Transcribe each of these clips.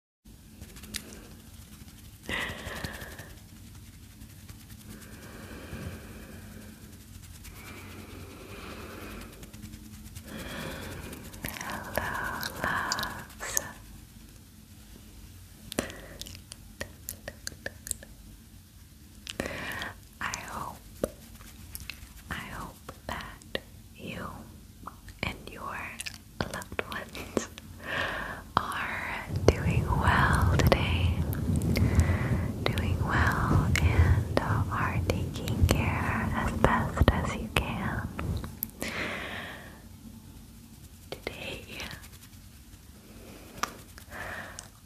Hello, loves. I hope, I hope that you and your loved ones are doing well today, doing well, and are taking care as best as you can. Today,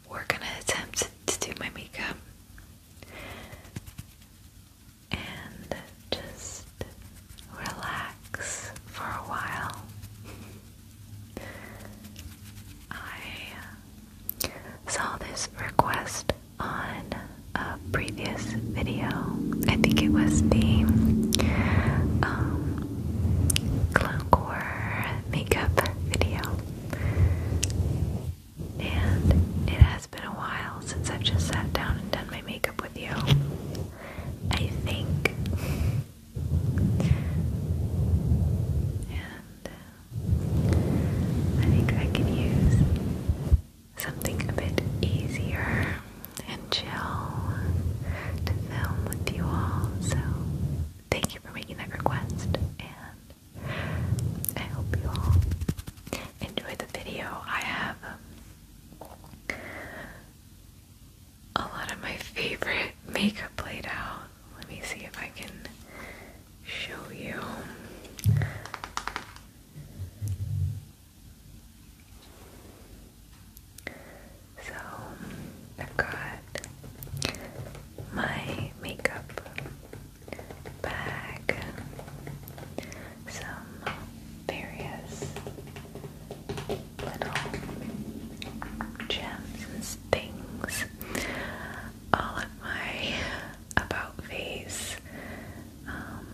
we're gonna attempt to do my makeup and just relax for a while. I saw this request on a previous video. I think it was the um, makeup video. And it has been a while since I've just sat down and done my makeup with you. I think. and uh, I think I can use something a bit easier and chill to film with you all. So, thank you for making that request, and I hope you all enjoy the video. I have. Um, a lot of my favorite makeup laid out. Let me see if I can show you. So, I've got my makeup bag some various little gems and things all at my about face. Um,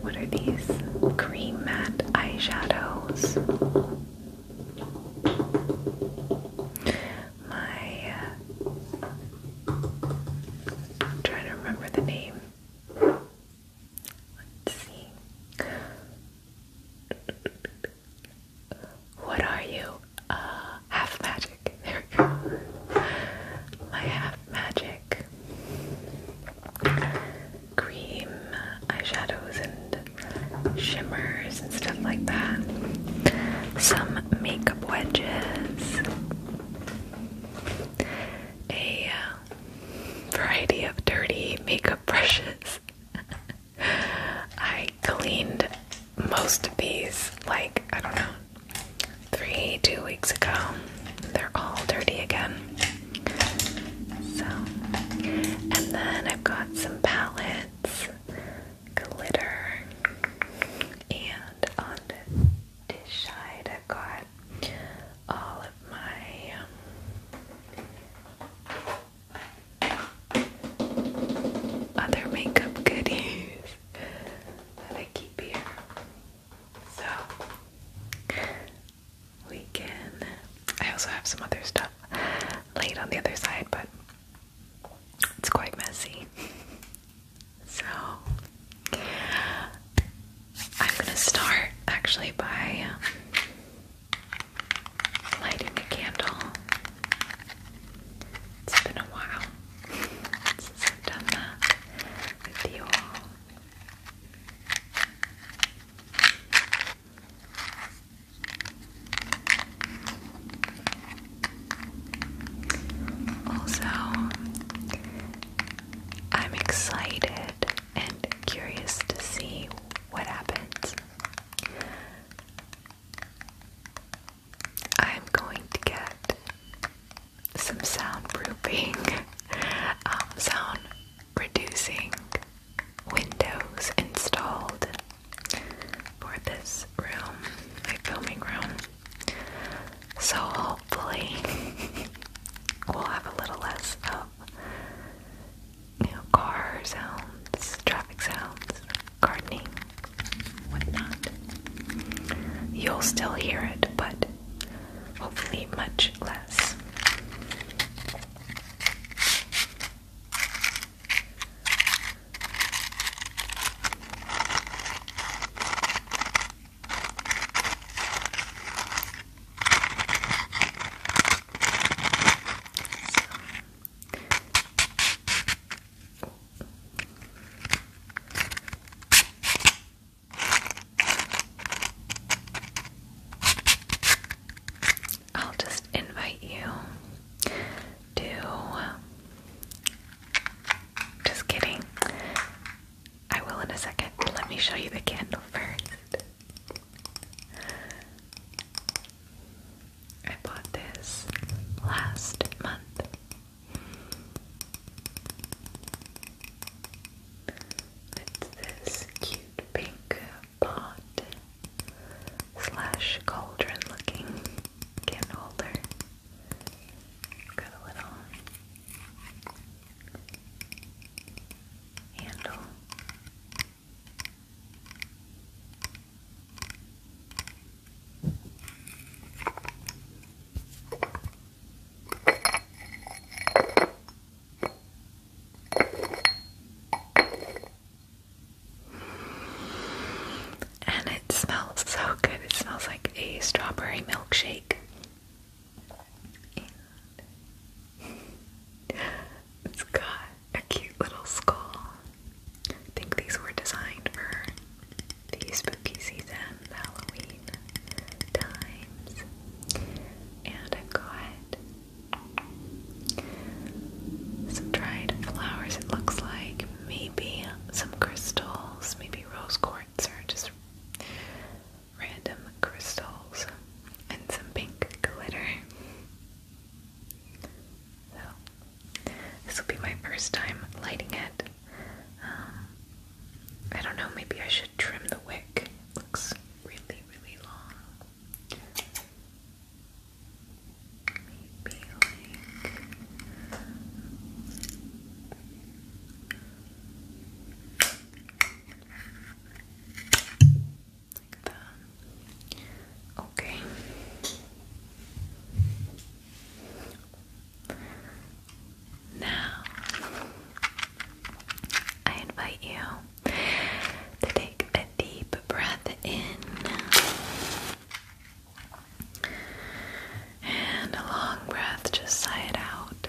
what are these? Cream matte eyeshadows. My. Uh, trying to remember the name. What are you? Uh, half magic. There we go. My half magic cream eyeshadows and shimmers and stuff like that. Some makeup wedges. A um, variety of dirty makeup brushes. I cleaned most of these, like, I don't know, three, two weeks ago. They're all dirty again. So, and then I've got some palettes, glitter, and on this side I got all of my um, other makeup goodies that I keep here. So we can. I also have some other stuff laid on the other side, but it's quite messy. So I'm gonna start actually by um, lighting a candle. It's been a while since I've done that with you all. Also, I'm excited and curious to see what happens. I'm going to get some soundproofing, um, sound reducing windows installed for this room, my filming room. So hopefully we'll have a little less of you traffic sounds, gardening, whatnot. You'll still hear it, but hopefully much less. I'll just invite you to um, just kidding. I will in a second. Let me show you the candle first. I bought this last month. It's this cute pink pot slash cauldron looking candle holder. Got a little handle. And it smells so good. It smells like a strawberry milkshake it's got a cute little skull. I think these were designed for the spooky season, the Halloween times. And I've got some dried flowers, it looks like. Maybe some crystals, maybe rose quartz, or just random crystals and some pink glitter. So, this will be my first time lighting it. Um, I don't know, maybe I should trim the wick. looks really, really long. Maybe like. Like Okay. Now, I invite you to take a deep breath in and a long breath, just sigh it out.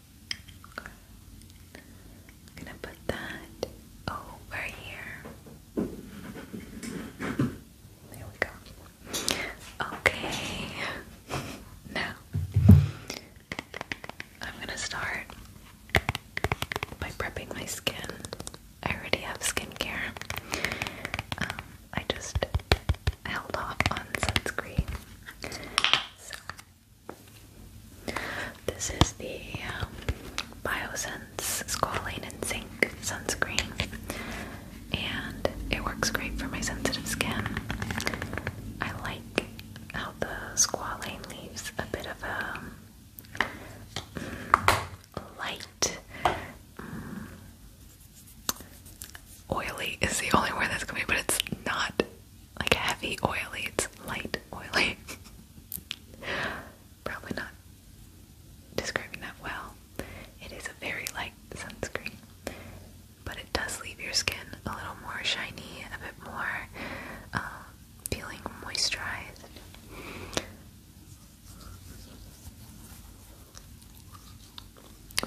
I'm gonna put that over here. There we go. Okay. Now I'm gonna start by prepping my skin. I already have skincare. Um, I just held off on sunscreen. This is the um, Biosense Squalane and Zinc sunscreen, and it works great for my sensitive skin. I like how the squalane leaves a bit of a um, light. Mm. oily is the only way that's coming, but it's not like heavy oily, it's light oily. Probably not describing that well. It is a very light sunscreen, but it does leave your skin a little more shiny, a bit more um, feeling moisturized.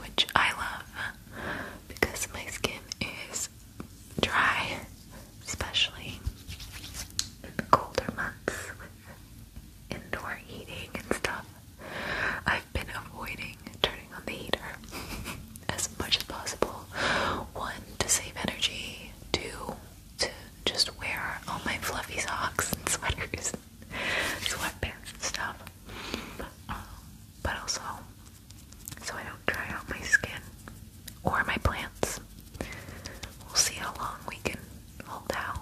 Which I love because my skin is dry, especially in the colder months with indoor heating and stuff. I've been avoiding turning on the heater as much as possible. One, to save energy, two, to just wear all my fluffy socks and sweaters, sweatpants and stuff. Um, but also, so I don't dry out my skin or my plants. We'll see how long we can hold out.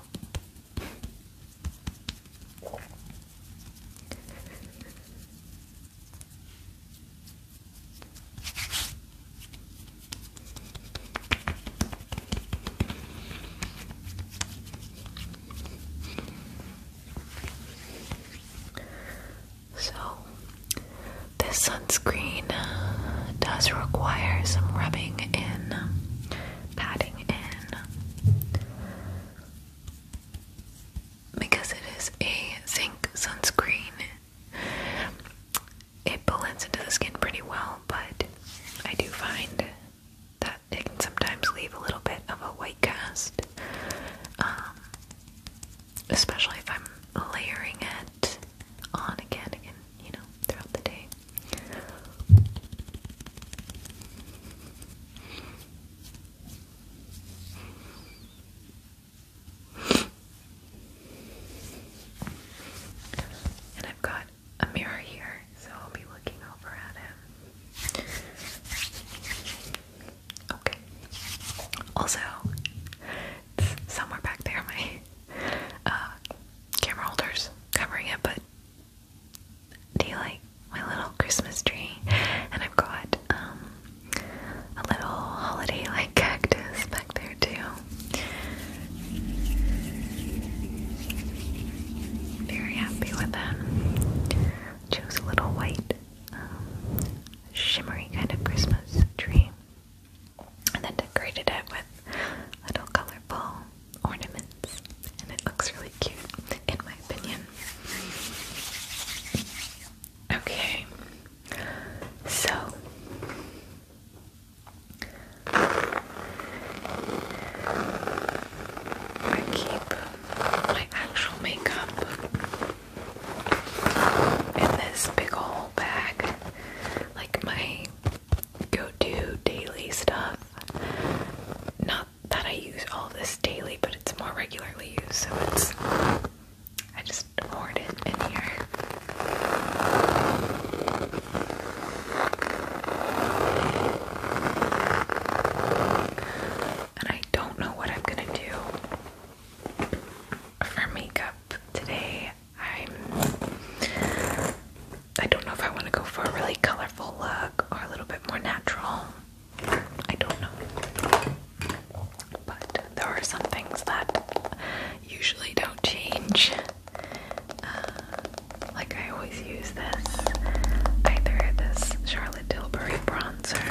So, this sunscreen uh, does require some rubbing in, um, patting in, because it is a zinc sunscreen. It blends into the skin pretty well, but I do find that it can sometimes leave a little bit of a white cast. Um, especially if I'm layering it on again, again, you know, throughout the day. And I've got a mirror here, so I'll be looking over at it. Okay. Also, somewhere back there, my uh, camera holders covering it, but do you like my little Christmas tree? And I've got um, a little holiday like cactus back there, too. Very happy with that. Choose a little white shimmery kind of Christmas tree, and then decorated it with little colorful ornaments, and it looks really cute, in my opinion. Okay, so. I keep my actual makeup in this big old bag, like my go-to daily stuff. Not that I use all this daily, but it's more regularly used, so it's I just hoard it in here. And I don't know what I'm gonna do for makeup today. I'm I i do not know if I want to go for a really colorful look or a little bit more natural. I don't know. But there are some things that usually don't change. Uh, like I always use this either this Charlotte Tilbury bronzer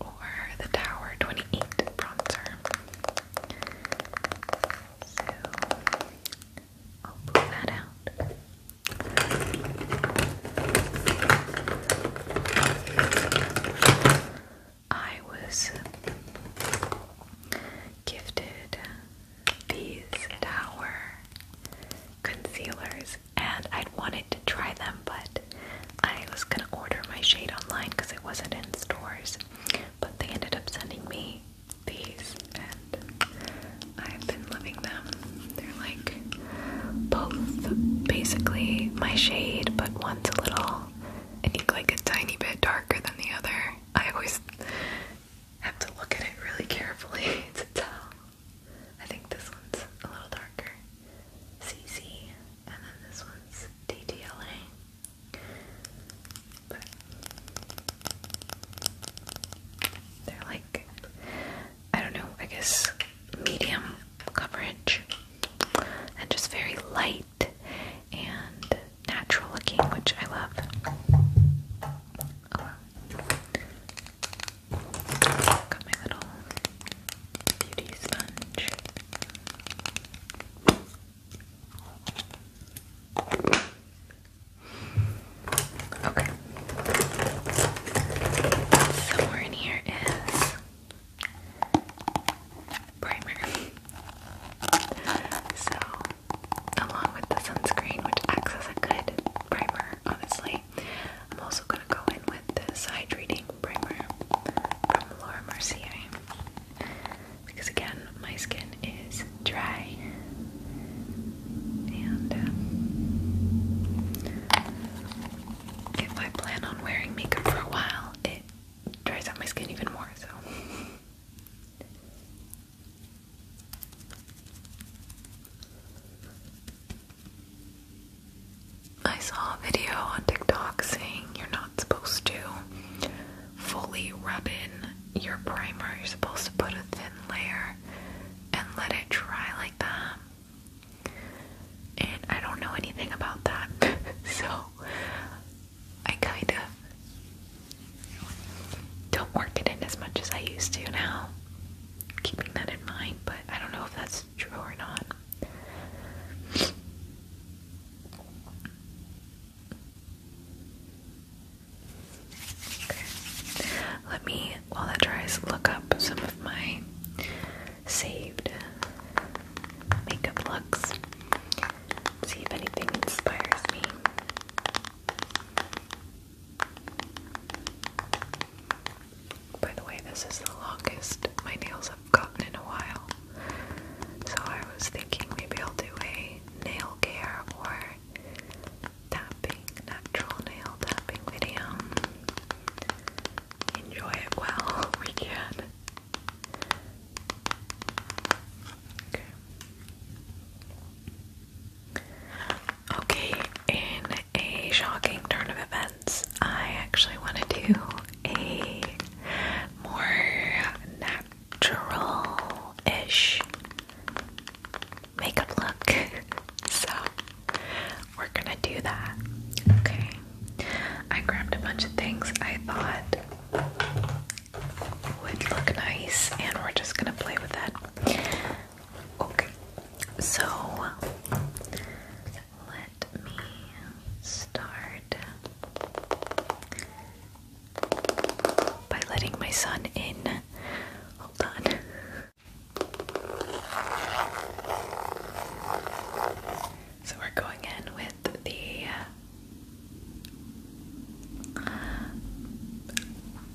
or the Tower 28 bronzer. So I'll pull that out. I was gifted these Tower concealers and I'd wanted to try them, but I was gonna order my shade online because it wasn't in stores. But they ended up sending me these, and I've been loving them. They're like both basically my shade, but one's a little, I think, like a tiny bit darker than the other. I always have to look at it really carefully to tell. I think this one's a little darker. CC, and then this one's DTLA. they're like, I don't know, I guess medium coverage and just very light and natural looking, which I love. Oh, Got my little beauty sponge. Okay. Somewhere in here is primer. So, along with the sunscreen, which acts as a good primer, honestly, I'm also gonna go in with this hydrating primer from Laura Mercier because again my skin is dry and um, if I plan on wearing makeup for a while it dries out my skin even more so I saw a video on TikTok saying you're not supposed to fully rub in your primer. You're supposed to put a thin layer and let it dry like that. And I don't know anything about that, so I kind of don't work it in as much as I used to now. Keeping that in mind, but I don't know if that's true or not. Let me, while that dries, look up some of my saved makeup looks. See if anything inspires me. By the way, this is the longest my nails have gotten in a while. So I was thinking maybe I'll do a nail care or tapping, natural nail tapping video. Enjoy it while we can. Okay in a shocking turn of events, I actually want to do a more natural ish makeup look. so, we're gonna do that. Okay. I grabbed a bunch of things I thought would look nice, and we're just gonna play with that. Okay. So, let me start by letting my son in. Hold on. So we're going in with the.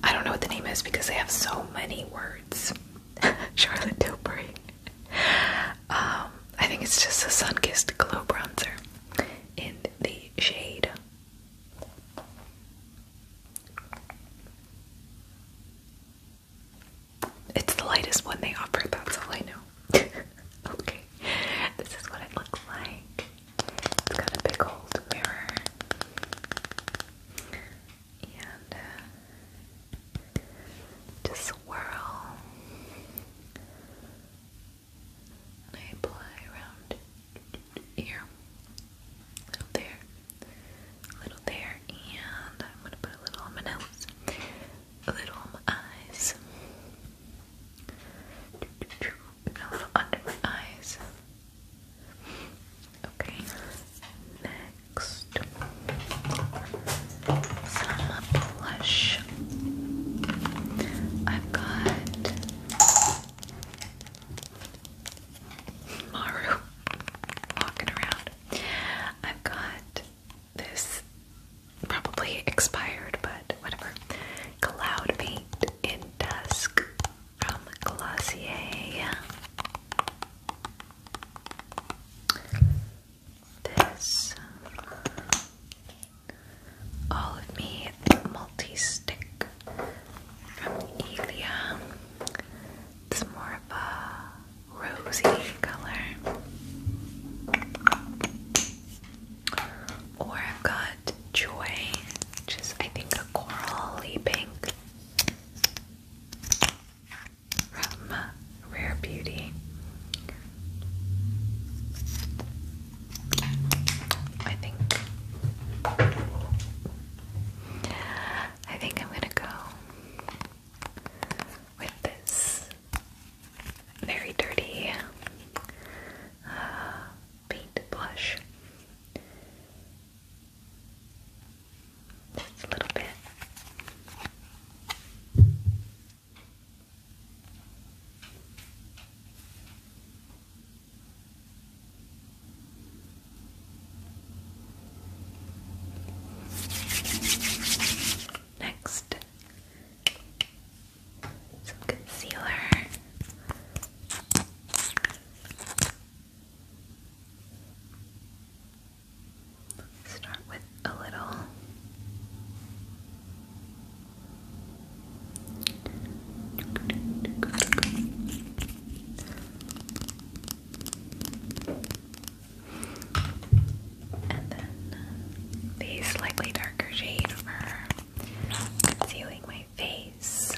I don't know what the name is because they have so many words. Charlotte Tilbury. Um, I think it's just a sun kissed glow bronzer in the shade it's the lightest one they offer, that's all I know. okay, this is what it looks like. It's got a big old mirror and uh, swirl. I apply around here, little there, little there, and I'm gonna put a little on my nose, a little on my eyes, a little under my eyes. Okay, next some blush I've got Maru walking around I've got this probably expired but whatever Cloud Paint in Dusk from Glossier this um, All of Me multi stick from Elia. It's more of a rosy color. Or I've got Joy, which is I think a corally pink from Rare Beauty. I think I think I'm gonna go with this very dirty uh, paint blush. Just a little bit. Next, some concealer. Start with a little. And then the slightly darker shade for concealing my face.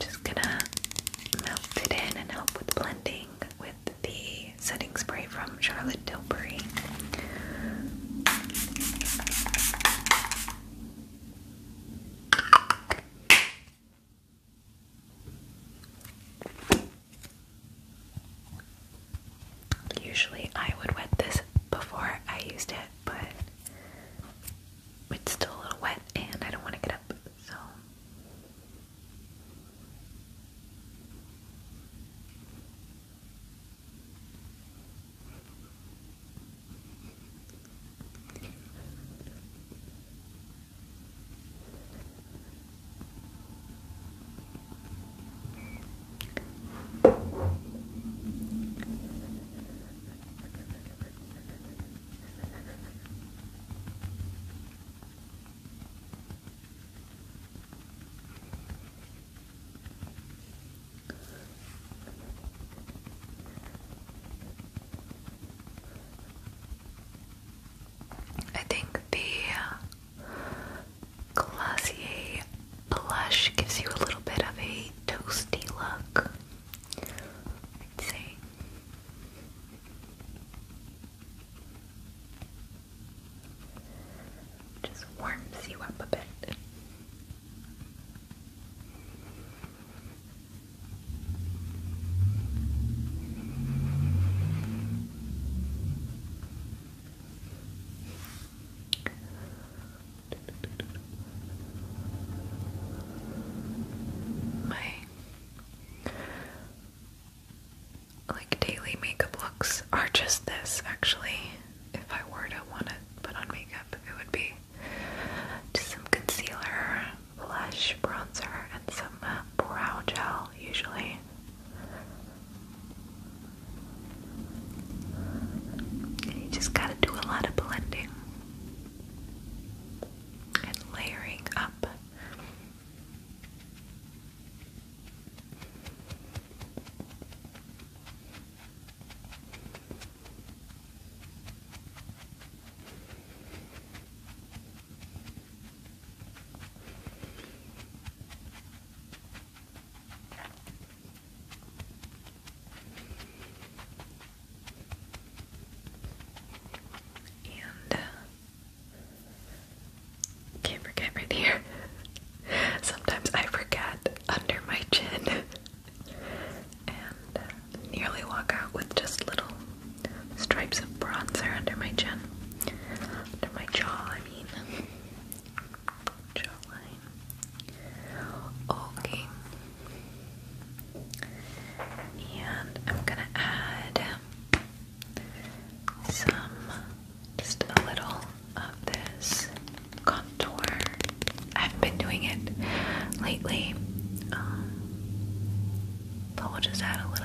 Just gonna melt it in and help with blending with the setting spray from Charlotte Tilbury. Usually I would wet this before I used it, but it's still a little wet and I don't want to get up, so. I think the uh, Glossier blush gives you a little bit of a toasty look. Just warms you up a bit. My like daily makeup looks are just this actually. If I were to want to put on makeup, it would be just some concealer, blush, bronzer, and some uh, brow gel usually. You just gotta do a lot of blending and layering up. Uh, can't forget right here. Sometimes I forget under my chin and uh, nearly walk out with just little stripes of bronzer under my chin. Under my jaw, I mean. Okay. And I'm gonna add some, just a little of this contour. I've been doing it lately, um, but we'll just add a little.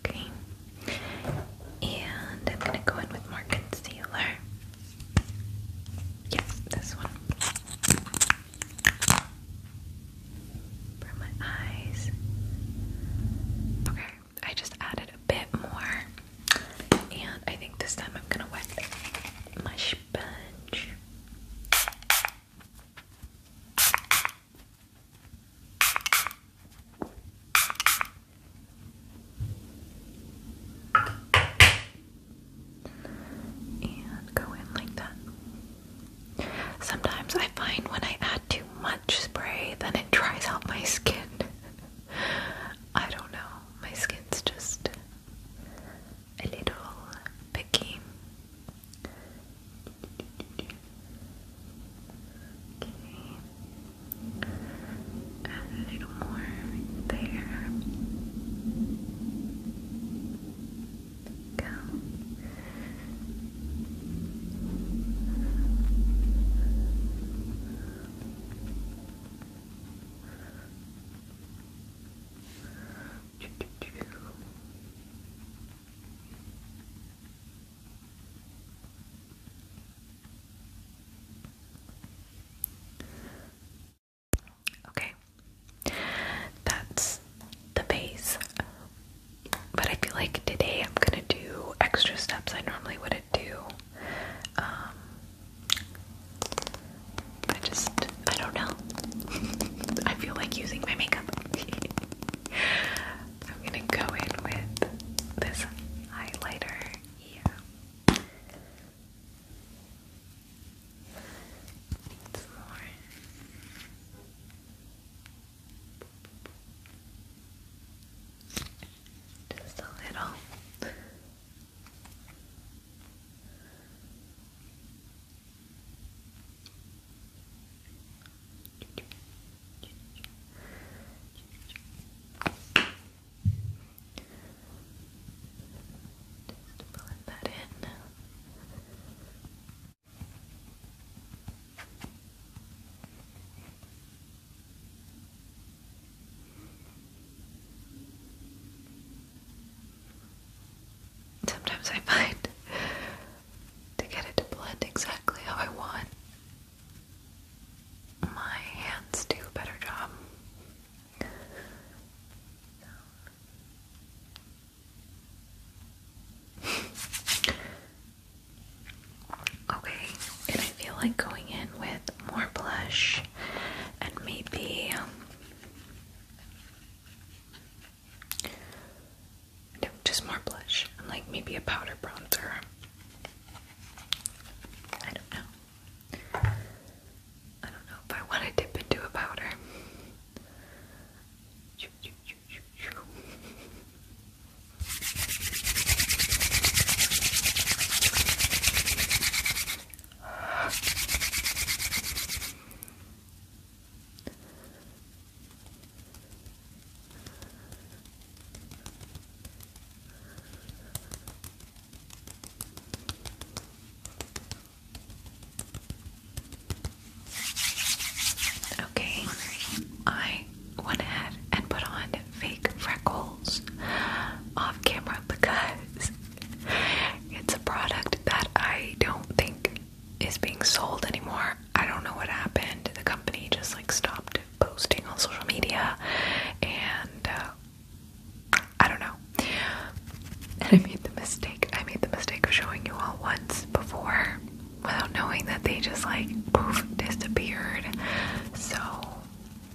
Okay. And I'm gonna go in with more concealer. Yes, this one. For my eyes. Okay, I just added a bit more. And I think this time I'm gonna wet my sponge. And go in like that. Sometimes I find when I add too much spray, then it dries out my skin. I don't know. My skin's just a little picky. Okay. Add a little more there. Go. Okay. Okay, that's the base. But I feel like today I'm gonna do extra steps I normally wouldn't do. Um, I just, I don't know. I feel like using my makeup. I'm gonna go in with this highlighter here. Just a little. Just pulling that in. Sometimes I find to get it to blend exactly how I want. My hands do a better job. okay, and I feel like going in with more blush and maybe um, just more blush I'm like maybe a powder bronzer. I don't know. I don't know if I want to dip into a powder. Okay, I went ahead and put on fake freckles off camera because it's a product that I don't think is being sold anymore. I don't know what happened. The company just like stopped posting on social media, and uh, I don't know. And I made the mistake. I made the mistake of showing you all once before without knowing that they just like poof disappeared. So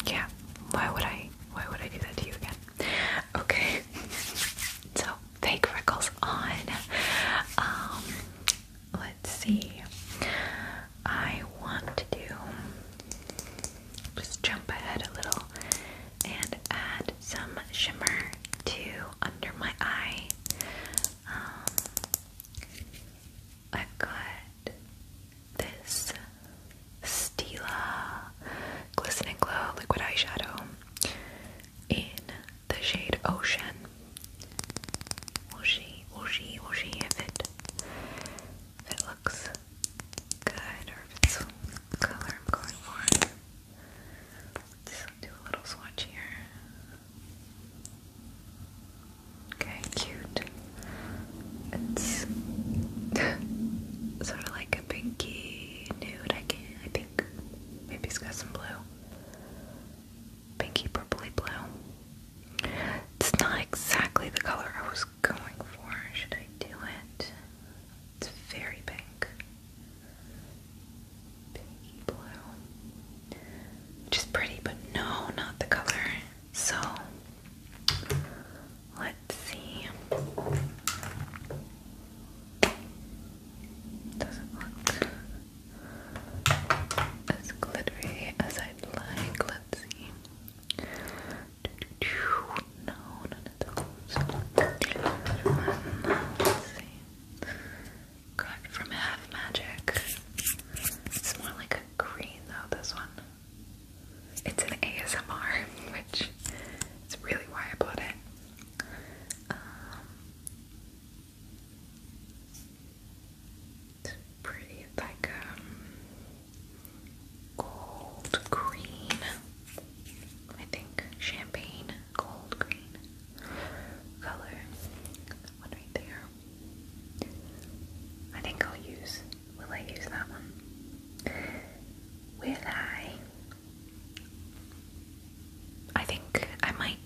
yeah, why would I? Why would I do that to you again? Okay. so fake freckles on. Um, let's see. I want to do just jump ahead a little and add some shimmer to under my eye. Um, I've got this Stila Glisten and Glow Liquid Eyeshadow in the shade Ocean. Will she, will she, will she, if it, if it looks good or if it's the color I'm going for. Let's do a little swatch here. Okay, cute. It's sort of like a pinky nude, I can I think. Maybe it's got some blue pinky purpley blue. It's not exactly the color I was going for. Should I do it? It's very pink. Pinky blue. Which is pretty, but no, not the color. So, let's see. Doesn't look as glittery as I'd like. Let's see. No, none of those. Let's from Half Magic. It's more like a green though, this one. It's an ASMR, which is really why I bought it. Um, it's pretty, like um, gold green. I think champagne gold green color. That one right there. I think I'll use. Will I use that one? Will I? I think I might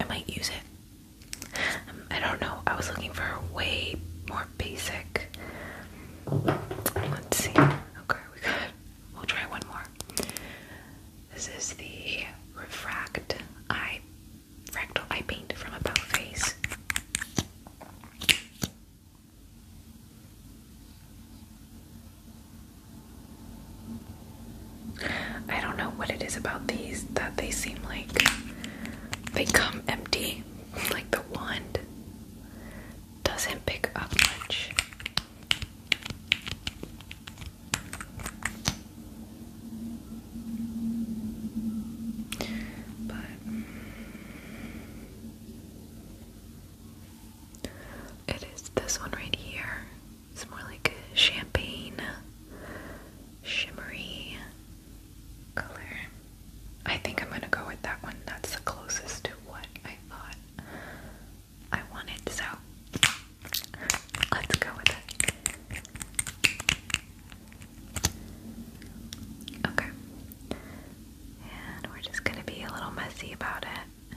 I might use it. Um, I don't know. I was looking for way more basic. Let's see. Okay, we got. We'll try one more. This is the refract eye fractal eye paint from About Face. I don't know what it is about these that they seem like they come empty. Like the wand doesn't pick up much. But it is this one right here. It's more like champagne shimmery color. I think I'm going to go with that one. That's the closest to what I thought I wanted, so let's go with it. Okay. And we're just going to be a little messy about it.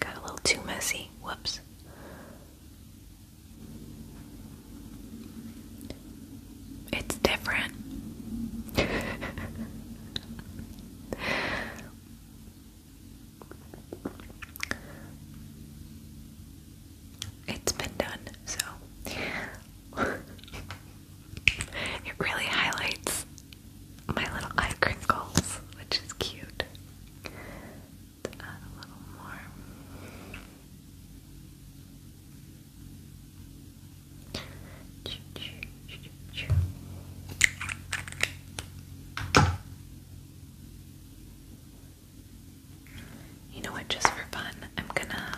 Got a little too messy. Whoops. It's different. it's been done, so it really highlights my little eye crinkles, which is cute. let add a little more. You know what, just for fun, I'm gonna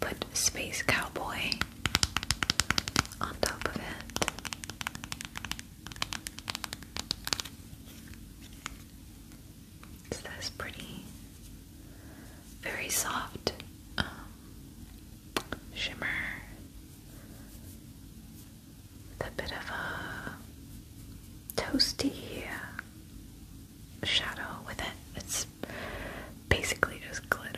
put Space Cowboy on top of it. It's this pretty, very soft um, shimmer. With a bit of a toasty uh, shadow with it. It's basically just glitter.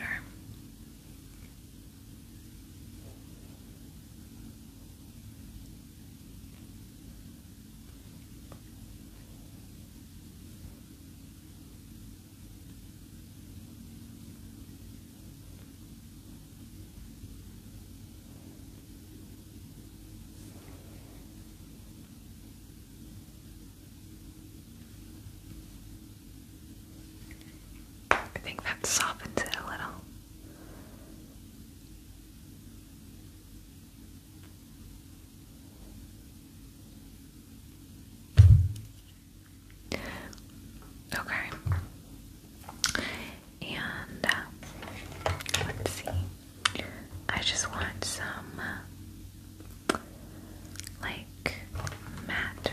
I think that softens it a little. Okay and uh, let's see. I just want some uh, like matte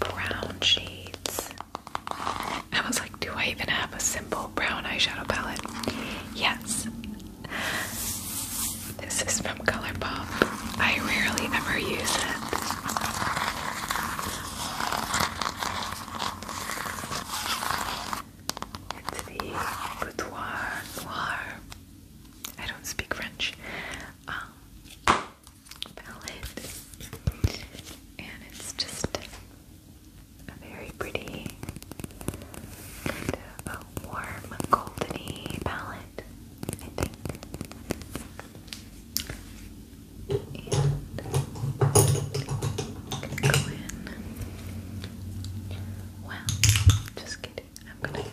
brown shades. I was like, do I even have a simple brown eyeshadow palette? Yes. This is from ColourPop. I rarely ever use it. It's the boudoir noir. I don't speak French. Um, palette. And it's just a very pretty, a warm, goldeny palette, I think. And go in. Well, just kidding. I'm gonna.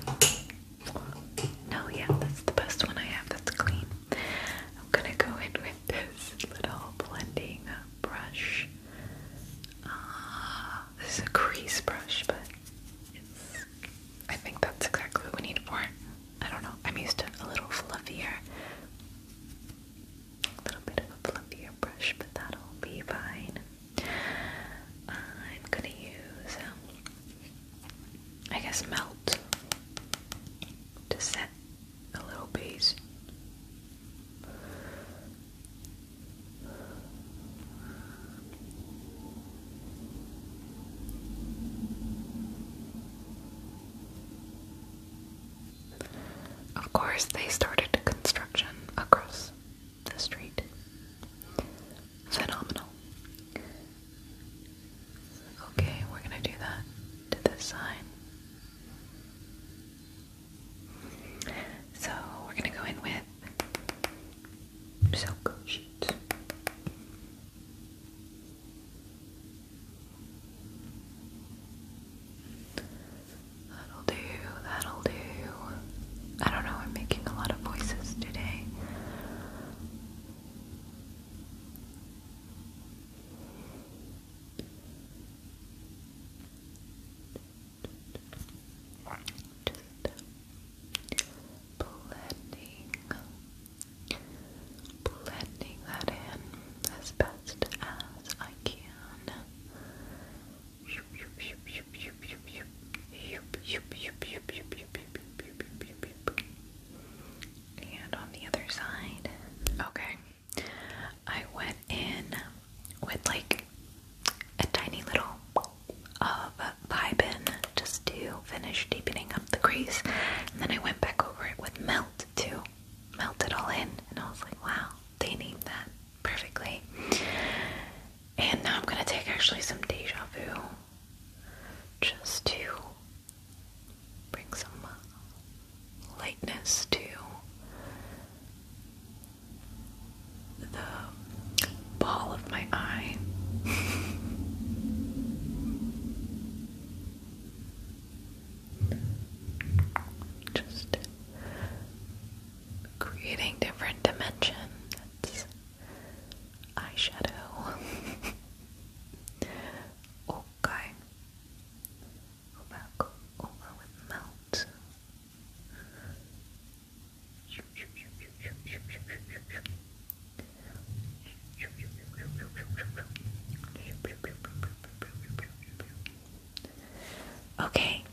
No, yeah, that's the best one I have that's clean. I'm gonna go in with this little blending brush. Uh, this is a crease brush, but it's. I think that's exactly what we need for I don't know. I'm used to a little fluffier a little bit of a fluffier brush, but that'll be fine. I'm gonna use, um, I guess, melt to set a little base. Of course, they started construction across the street. Phenomenal. Okay, we're gonna do that to this sign. So, we're gonna go in with silk sheet. That'll do, that'll do. I don't know, I'm making a lot of voices today. Just blending, blending that in as best as I can. And on the other side, okay. I went in with like a tiny little of uh, pie bin just to finish deepening up the crease, and then I went back over it with melt too melt it all in. And I was like, wow, they named that perfectly. And now I'm gonna take actually some deja vu just to bring some uh, lightness to the ball of my eye. Just creating different dimensions. eyeshadow. okay. Go over with melt. Okay,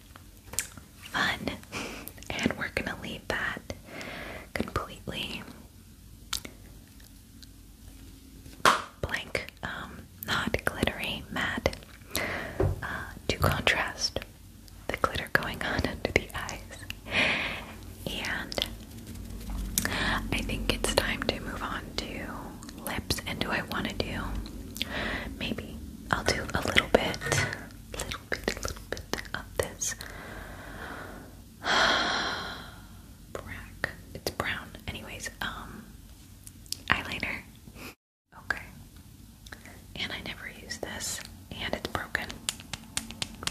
fun. And we're gonna leave that completely blank, um, not glittery, matte, uh, to contrast the glitter going on under the eyes. And I think it's time to move on to lips, and do I want to do? Maybe I'll do a little bit, little bit, little bit of this brack. It's brown, anyways. Um, eyeliner. Okay. And I never use this, and it's broken.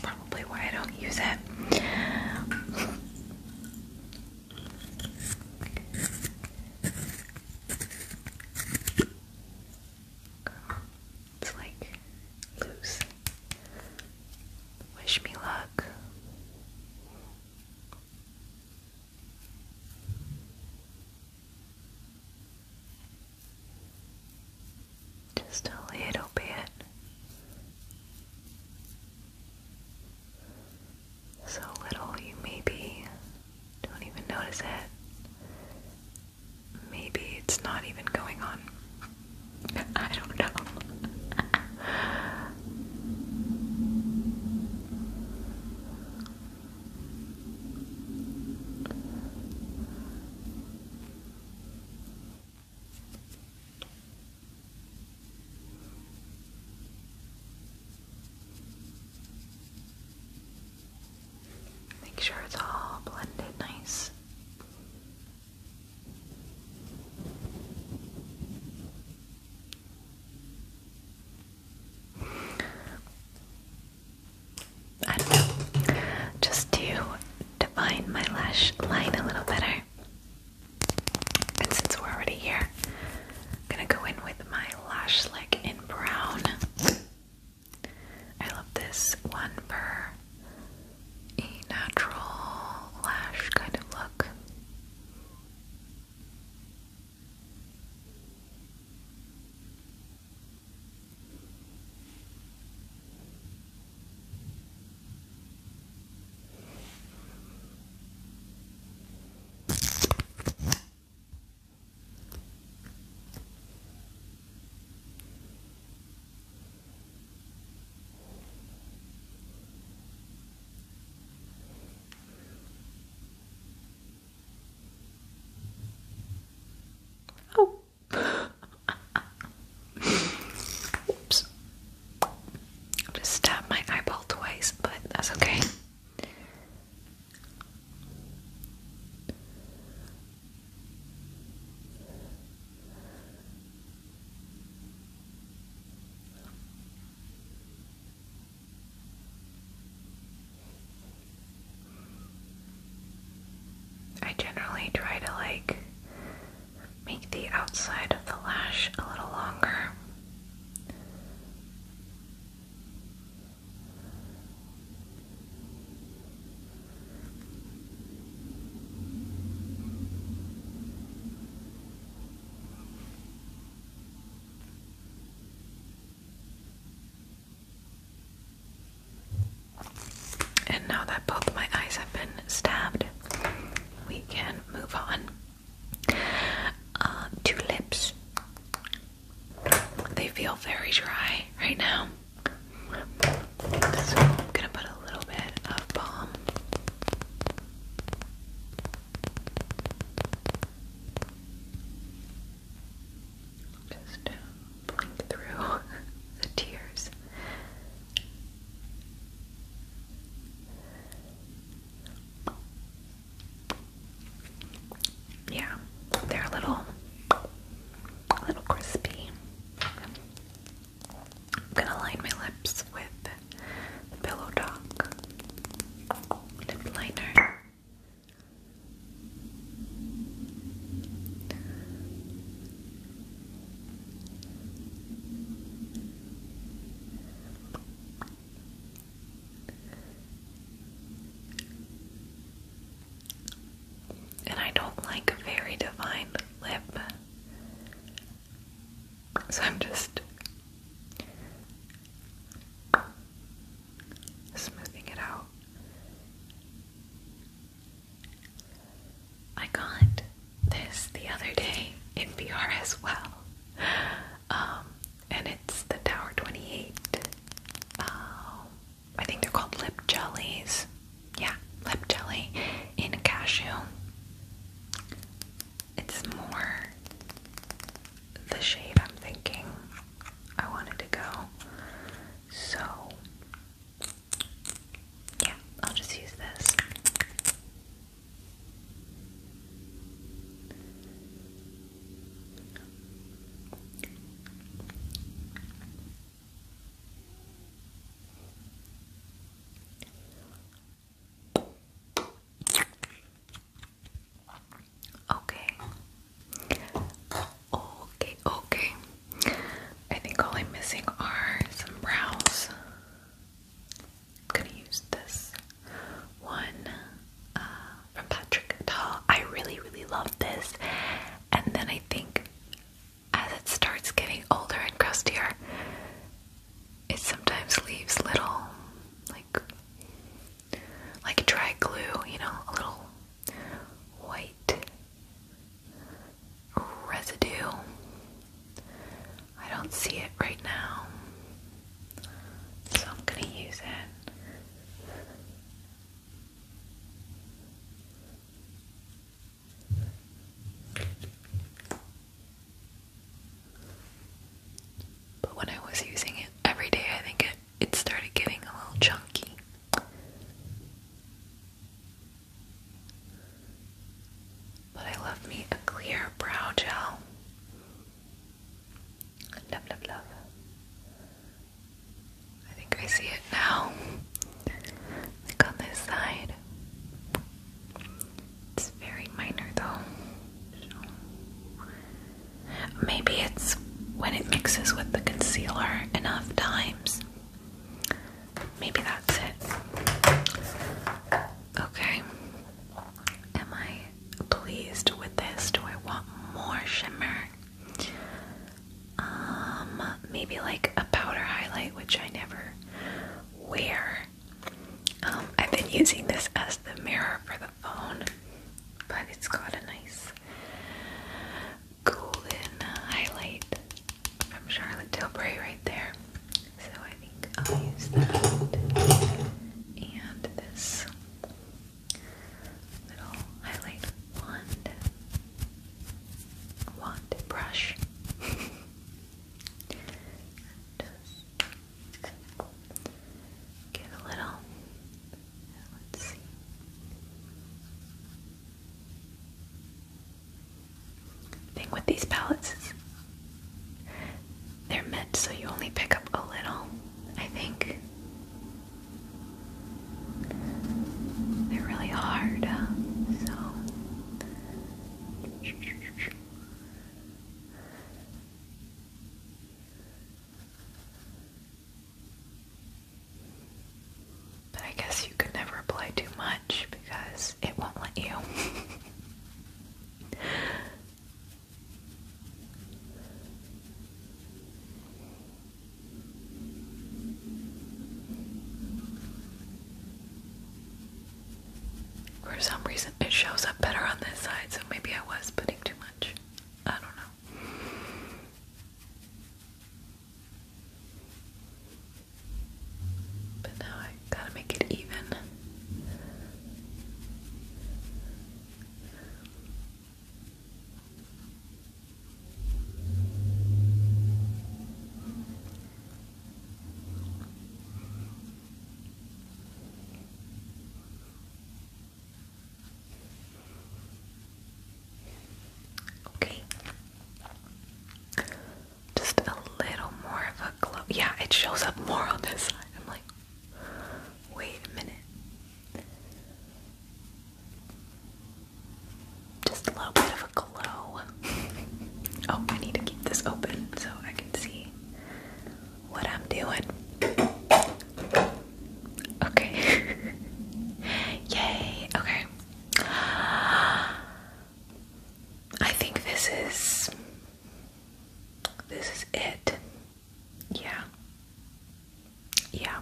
Probably why I don't use it. It's like loose. Wish me luck. Just a little bit so little you maybe don't even notice it. Maybe it's not even going on. I don't know. Make sure it's all blended nice. I don't know, just to define my lash line a little better. And since we're already here, I'm gonna go in with my lash lick in brown. I love this one for a natural lash kind of look. Oh. Oops. just stabbed my eyeball twice, but that's okay. I generally try to like make the outside of the lash a little longer and now that both my eyes have been stabbed, we can move on. Uh, two lips. They feel very dry right now. gonna put a little bit of balm. Just blink through the tears. Yeah, they're a little, a little crispy. I'm gonna line my lips with the Pillow Talk lip liner. And I don't like a very defined lip. So I'm just smoothing it out. I got this the other day in PR as well. Um, and it's the Tower 28. Um, I think they're called lip jellies. Yeah, lip jelly in cashew. It's more the shade I'm thinking I wanted to go. So, yeah, I'll just use this. Okay. Okay, okay. I think all I'm missing are some brows. I'm gonna use this one uh, from Patrick Dahl. I really, really love this. And then I think as it starts getting older and crustier, it sometimes leaves little, like, like dry glue, you know, a little white residue. I don't see it right now. So I'm going to use it. But when I was using it every day, I think it, it started getting a little chunky. But I love me a clear brow gel. Love, love, love. I think I see it now. Like on this side. It's very minor though. Maybe it's when it mixes with the concealer enough times. Maybe that's it. Okay. Am I pleased with this. Do I want more shimmer? Um, maybe like a powder highlight, which I never wear. Um, I've been using this as the mirror for the phone, but it's got a nice golden highlight from Charlotte Tilbury right there. So I think I'll use that and this little highlight wand wand brush just give a little thing with these palettes is they're meant so you only pick up a little, I think. They're really hard, so. But I guess you could never apply too much because it won't let you. For some reason, it shows up better on this side, so maybe I was putting too much. I don't know. But now I gotta make it even. Okay. Just a little more of a glow. Yeah, it shows up more on this side. I'm like, Wait a minute. Just a little bit of a glow. oh, I need to keep this open so I can see what I'm doing. Okay. Yay. Okay. I think this is this is it yeah yeah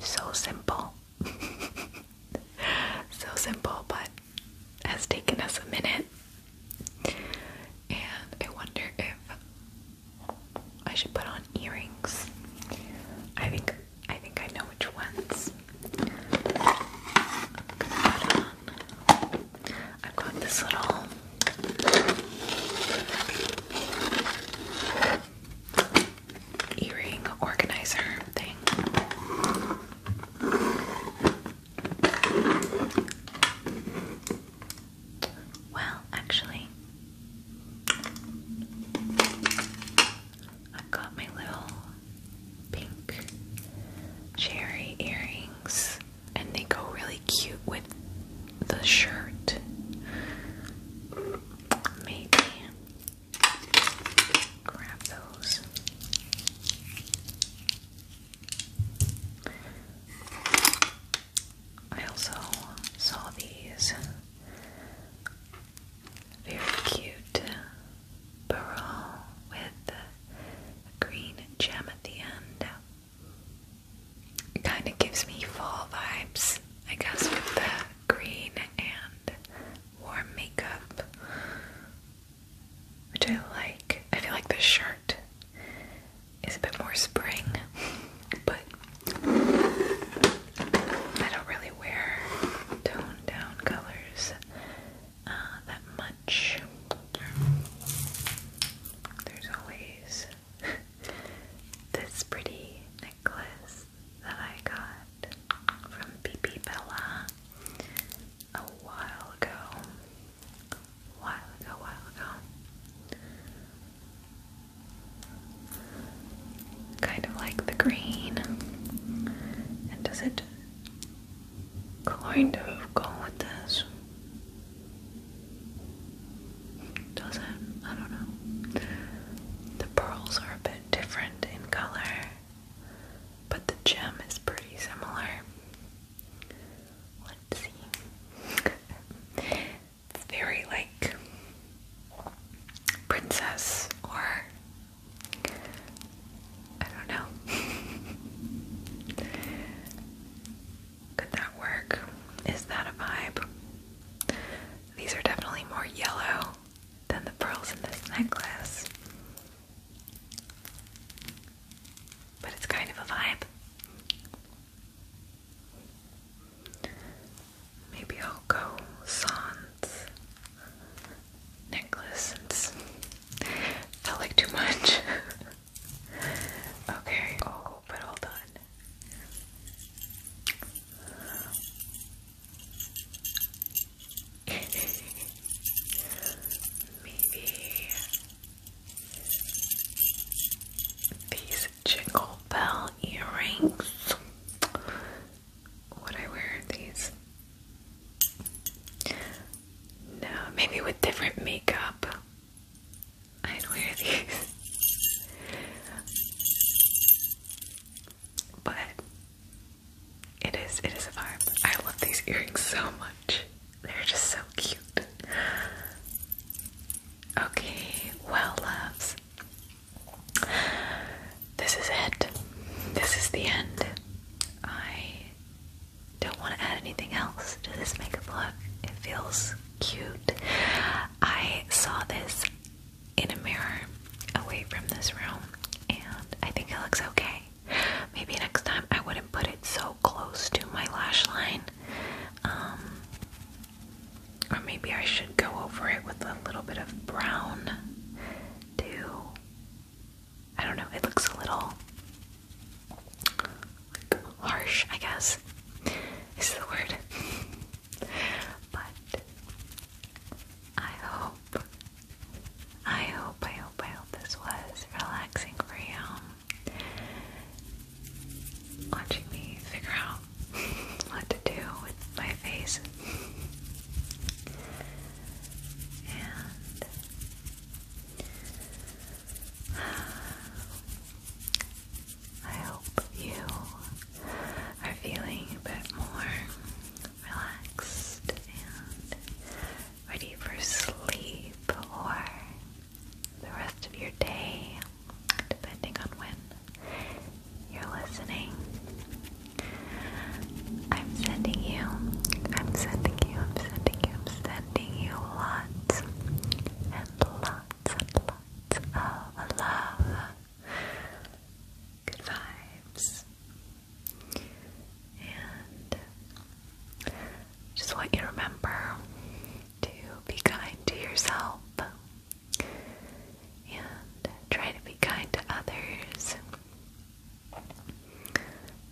so simple so simple but has taken us a minute and I wonder if I should put on earrings I think I think I know which ones put on I've got this little earring organizer thing. Well, actually, I've got my little pink cherry earrings and they go really cute with the shirt. Maybe grab those. I also saw these very cute barrel with green gem at the end. It kind of gives me fall vibes, I guess, with the green and warm makeup, which I like. I feel like this shirt is a bit more spring, but I don't really wear toned down colors uh, that much. There's always this pretty necklace that I got from BB Bella a while ago. while ago, while ago. Kind of like the green. And does it kind of go with this. Does it? I don't know. The pearls are a bit different in color, but the gem is pretty similar. Let's see. very like princess or I don't know. Could that work? Is that a vibe? These are definitely more yellow than the pearls in this necklace. But it's kind of a vibe. Maybe I'll go sans necklace since felt like too much. Okay, oh, but hold on. Maybe these jingle bell earrings. Would I wear these? No, maybe with different makeup. I'd wear these. but it is it is a vibe. I love these earrings so much. They're just so cute. Okay, well loves. This is it. This is the end. I don't want to add anything else Does this makeup look. It feels cute. I saw this in a mirror away from this room, and I think it looks okay. Maybe next time I wouldn't put it so close to my lash line. Um, or maybe I should go over it with a little bit of brown to I don't know, it looks a little harsh, I guess, is the word. but I hope, I hope, I hope, I hope this was relaxing for you. Watching me figure out what to do with my face. And I hope you are feeling a bit more relaxed and ready for sleep or the rest of your day, depending on when you're listening. I'm sending you, I'm sending you, I'm sending you, I'm sending you sending you lots and lots and lots of love. Good vibes. And just want you to remember to be kind to yourself and try to be kind to others.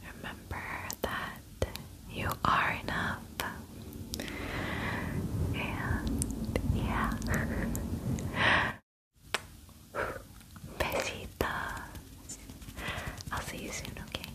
Remember that you are enough. And yeah. Besitos. I'll see you soon, okay?